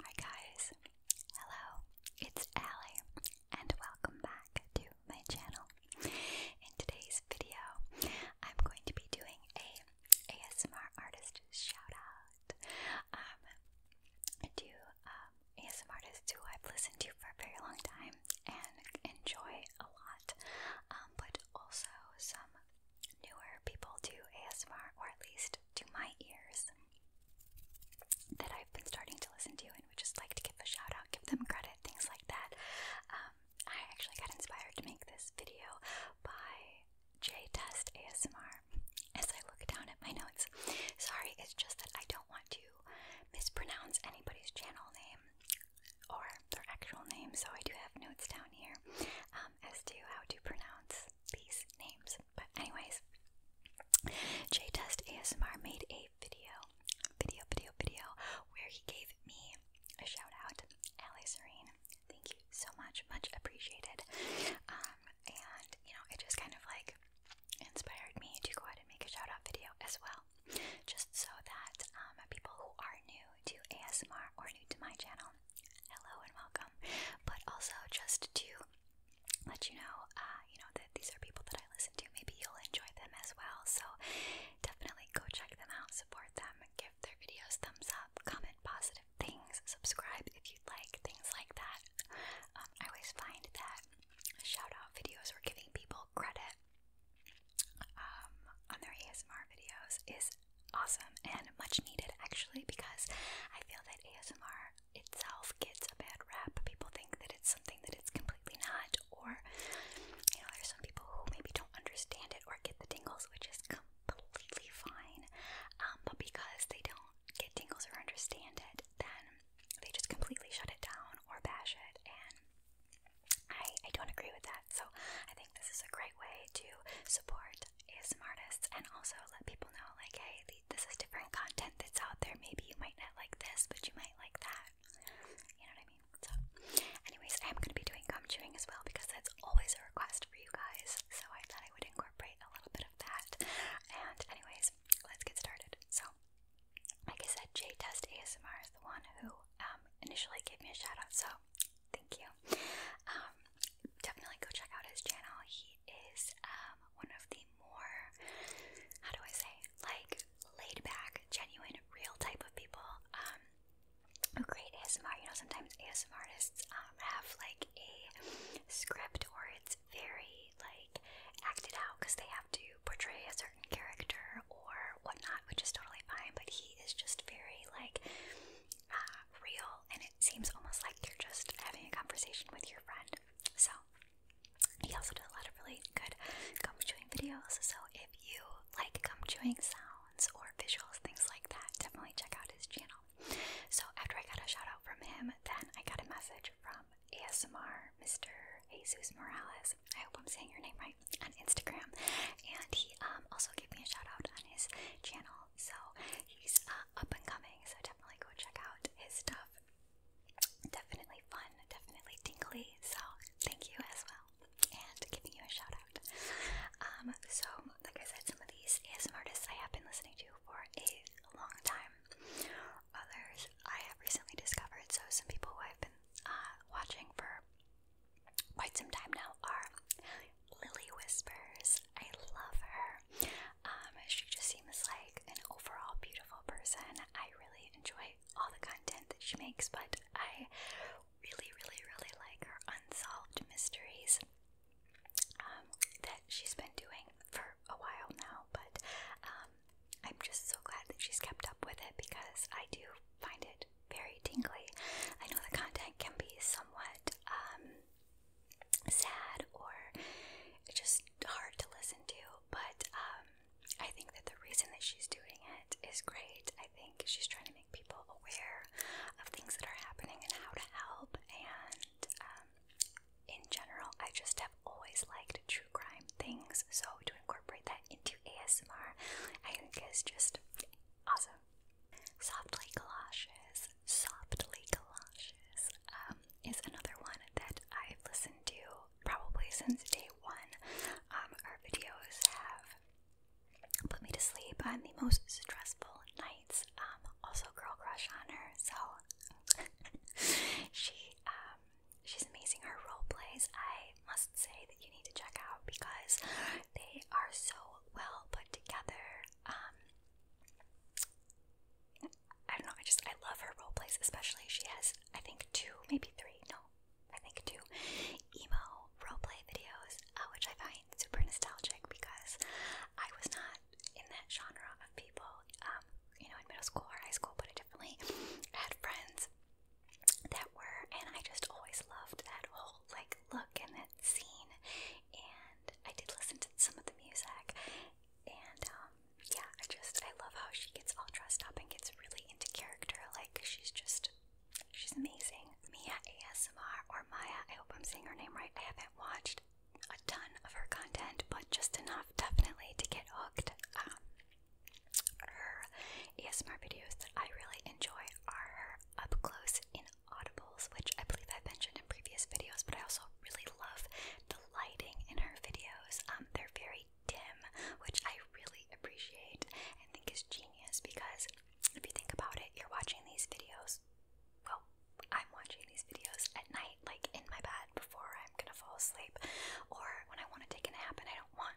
Hi guys, hello, it's Allie and welcome back to my channel. In today's video, I'm going to be doing a ASMR artist shout out um, to um, ASMR artists who I've listened to for a very long time and enjoy a lot, um, but also some newer people do ASMR, or at least to my ears, that I've been starting to listen to and would just like to give a shout out, give them credit, things like that. Um, I actually got inspired to make this video by J Test ASMR as I look down at my notes. Sorry, it's just that I don't want to mispronounce anybody's channel name or their actual name, so I do have notes down here. Um, as to how to pronounce these names. But anyways, J Test ASMR made a video, video, video, video where he gave me a shout out, Ali Serene. Thank you so much, much appreciated. Um, and you know, it just kind of like inspired me to go ahead and make a shout out video as well, just so that um, people who are new to ASMR or new to my channel, hello and welcome. But also just to let you know, uh, you know that these are people that I listen to. Maybe you'll enjoy them as well. So definitely go check them out, support them, give their videos thumbs up, comment positive things, subscribe if you'd like, things like that. Um, I always find that shout out videos are giving people credit um, on their ASMR videos is awesome and much needed actually because I feel that ASMR itself gets a bad rap. People think that it's something that it's completely not, or you know, there's some people who maybe don't understand it or get the tingles, which is completely fine. Um, but because they don't get tingles or understand it, then they just completely shut it down or bash it and I, I don't agree with that. So I think this is a great way to support ASMR artists and also let people know, like, hey, this is different content that's out there. Maybe you might not like this, but you might like that. You know what I mean? So, anyways, I am going to be doing gum chewing as well because that's always a request for you guys. So I thought I would incorporate a little bit of that. And, anyways, let's get started. So, like I said, J Test ASMR is the one who um, initially gave me a shout out. So, Thank you. Um, definitely go check out his channel. He is um, one of the more, how do I say, like laid back, genuine, real type of people um, who ASMR. You know, sometimes ASMR artists um, have like a script or it's very like acted out because they have to portray a certain character or whatnot, which is totally fine, but he is just very like uh, real and it seems almost like you're just having a conversation with your friend. So he also does a lot of really good gum chewing videos. So if you like gum chewing sounds or visuals, things like that, definitely check out his channel. So after I got a shout out from him, then I got a message from ASMR Mr. Jesus Morales. I hope I'm saying your name right on Instagram, and he um, also gave me a shout out on his channel. So he's uh, up and coming. So definitely go check out his stuff. Definitely fun. Definitely tingly. So thank you as well, and giving you a shout out. Um, so like I said, some of these ASMR artists I have been listening to for a long time. Others I have recently discovered. So some people who I've been uh, watching for quite some time now are Lily Whispers. I love her. Um, she just seems like an overall beautiful person. I really enjoy all the content that she makes, but I really, really, really like her unsolved mysteries um, that she's been doing for a while now. But um, I'm just so glad that she's kept up with it because I do find it very tingly. I know the content can be somewhat um, sad or just hard to listen to, but um, I think that the reason that she's doing it is great. I think she's trying to make people aware of things that are happening and how to help. And um, in general, I just have always liked true crime things, so to incorporate that into ASMR. I think is just awesome. Softly Galoshes, Softly Galoshes um, is another one that I've listened to probably since day one. Um, our videos have put me to sleep on the most stressful nights. Um, also, girl crush on her, so she um, she's amazing. Her role plays, I must say, that you need to check out because they are so well put together. Um, I don't know, I just, I love her role plays, especially. She has, I think, two, maybe three, no, I think two emo role play videos, uh, which I find super nostalgic because I was not in that genre of people, um, you know, in middle school or high school, but I definitely had friends that were, and I just always loved that whole like look and that scene. And I did listen to some of the music, and um, yeah, I just I love how she gets all dressed up and gets really into character. Like she's just she's amazing. Mia ASMR or Maya, I hope I'm saying her name right. I haven't watched a ton of her content, but just enough definitely to get hooked. Um, her ASMR videos that I really enjoy are up close in audibles, which I believe I've mentioned in previous videos, but I also really love the lighting in her videos. Um, they're very dim, which I really appreciate and think is genius because if you think about it, you're watching these videos. Well, I'm watching these videos at night, like in my bed before I'm gonna fall asleep, or when I want to take a nap and I don't want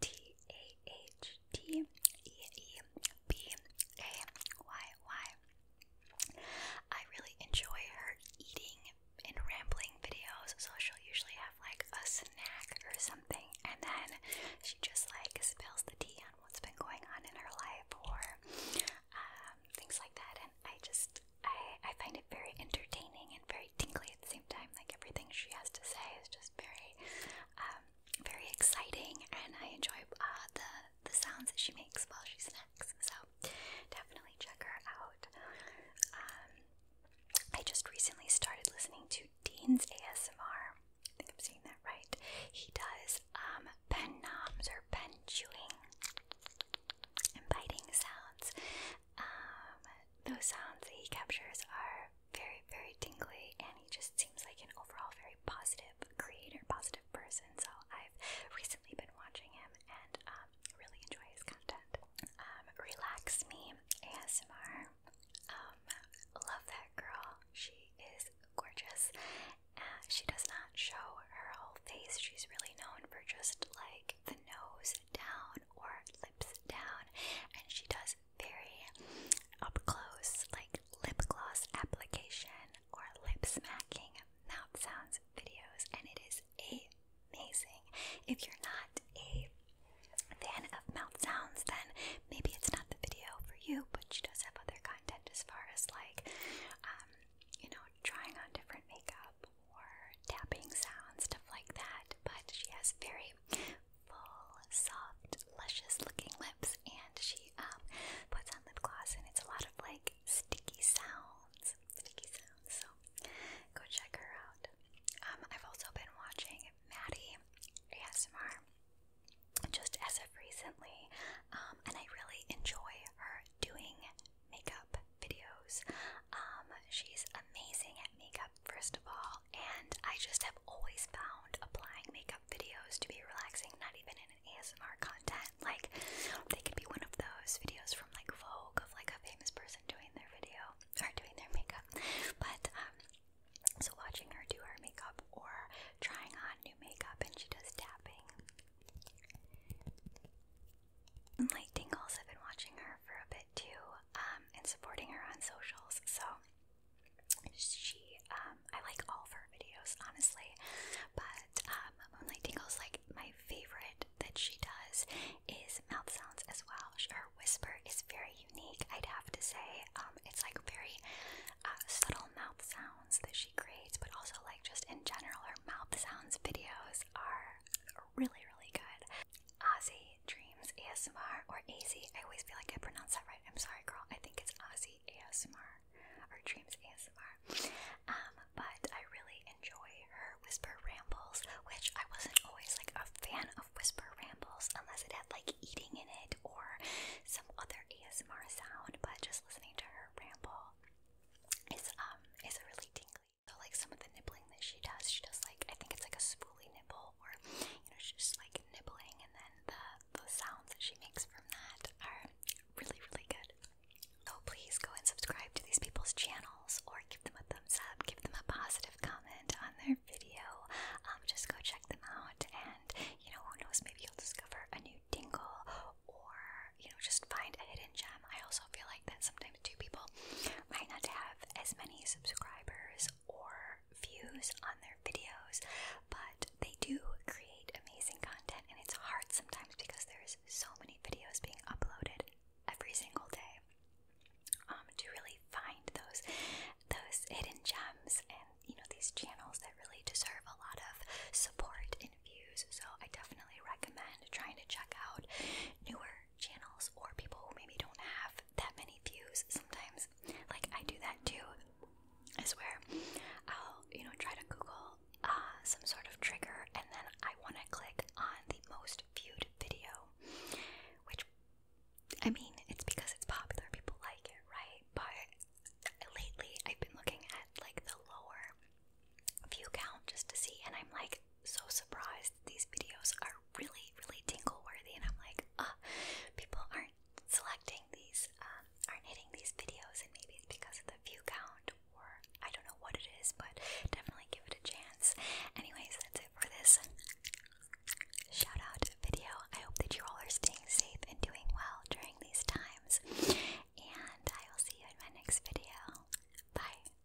T A H T E E B A Y Y. I really enjoy her eating and rambling videos, so she usually have like a snack or something, and then she just like spills the tea on what's been going on in her life or um, things like that. And I just I I find it very entertaining and very tingly at the same time, like everything she has to say is just very, um, very exciting, and I enjoy uh, the the sounds that she makes while she snacks. So definitely check her out. Um, I just recently started listening to Dean's ASMR. I I'm saying that right. He does um, pen noms or pen chewing and biting sounds. those sounds that he captures are very, very tingly, and he just seems like an overall very positive creator, positive person. So I've recently been watching him and um, really enjoy his content. Um, Relax Me ASMR. Um, love that girl. She is gorgeous. Uh, she does not show her whole face. She's really known for just like the nose down or lips down, and she does very up close, like lip gloss application or lip smacking mouth sounds videos, and it is amazing. If you're not a fan of mouth sounds, then maybe it's not the video for you, but she does have other content as far as like, um, you know, trying on different makeup or tapping sounds, stuff like that. But she has very full, soft, luscious-looking lips, and she um, puts on lip gloss, and it's a lot of like sticky sounds, sticky sounds. So go check her out. Um, I've also been watching Maddie ASMR just as of recently, um, and I really enjoy her doing makeup videos. Um, she's amazing at makeup, first of all, and I just have always found applying makeup videos to be relaxing, not even in an ASMR content. Like, they could be one of those videos from like Vogue of like a famous person doing their video or doing their makeup. But, um, so watching her do her makeup or trying on new makeup, and she does tapping. and Light Tingles, I've been watching her for a bit too, um, and supporting her on socials. So she, um, I like all of her videos, honestly. But um, Moonlight Tingle's like my favorite that she does is mouth sounds as well. Her whisper is very unique, I'd have to say. Um, it's like very uh, subtle mouth sounds that she creates, but also like just in general, her mouth sounds videos are really, really good. Ozzy Dreams ASMR or AZ. I always feel like I pronounce that right. I'm sorry, girl. I think it's Aussie ASMR or Dreams ASMR. Um, but I really enjoy her whisper rambles, which I wasn't always like a fan of whisper rambles unless it had like eating in it or some other ASMR sound. But just listening to her ramble is um is a really tingly so like some of the nibbling that she does, she does like I think it's like a spoolie nibble, or you know she's just like nibbling, and then the the sounds that she makes from that are really really good. So oh, please go and subscribe to these people's channels, or give them a thumbs up, give them a positive comment on their video. Um, just go check them out, and you know who knows, maybe you'll discover a new dingle, or you know just find a hidden gem. I also feel like that sometimes time two people might not have as many subscribers or views on their videos, but they do create amazing content, and it's hard sometimes because there's so many videos being uploaded every single day. Um, to really find those those hidden gems and you know these channels that really deserve a lot of support and views. So I definitely recommend trying to check out newer channels or people who maybe don't have that many views sometimes. Like I do that too. I swear. I'll, you know, try to Google uh, some sort of trigger and then I want to click on the most viewed video. Which, I mean, it's because it's popular, people like it, right? But lately I've been looking at like the lower view count just to see, and I'm like, so surprised these videos are really, really tingle worthy, and I'm like, ah, people aren't selecting these, um, aren't hitting these videos, and maybe it's because of the view count, or I don't know what it is, but definitely give it a chance. Anyways, that's it for this shout out video. I hope that you all are staying safe and doing well during these times, and I will see you in my next video. Bye.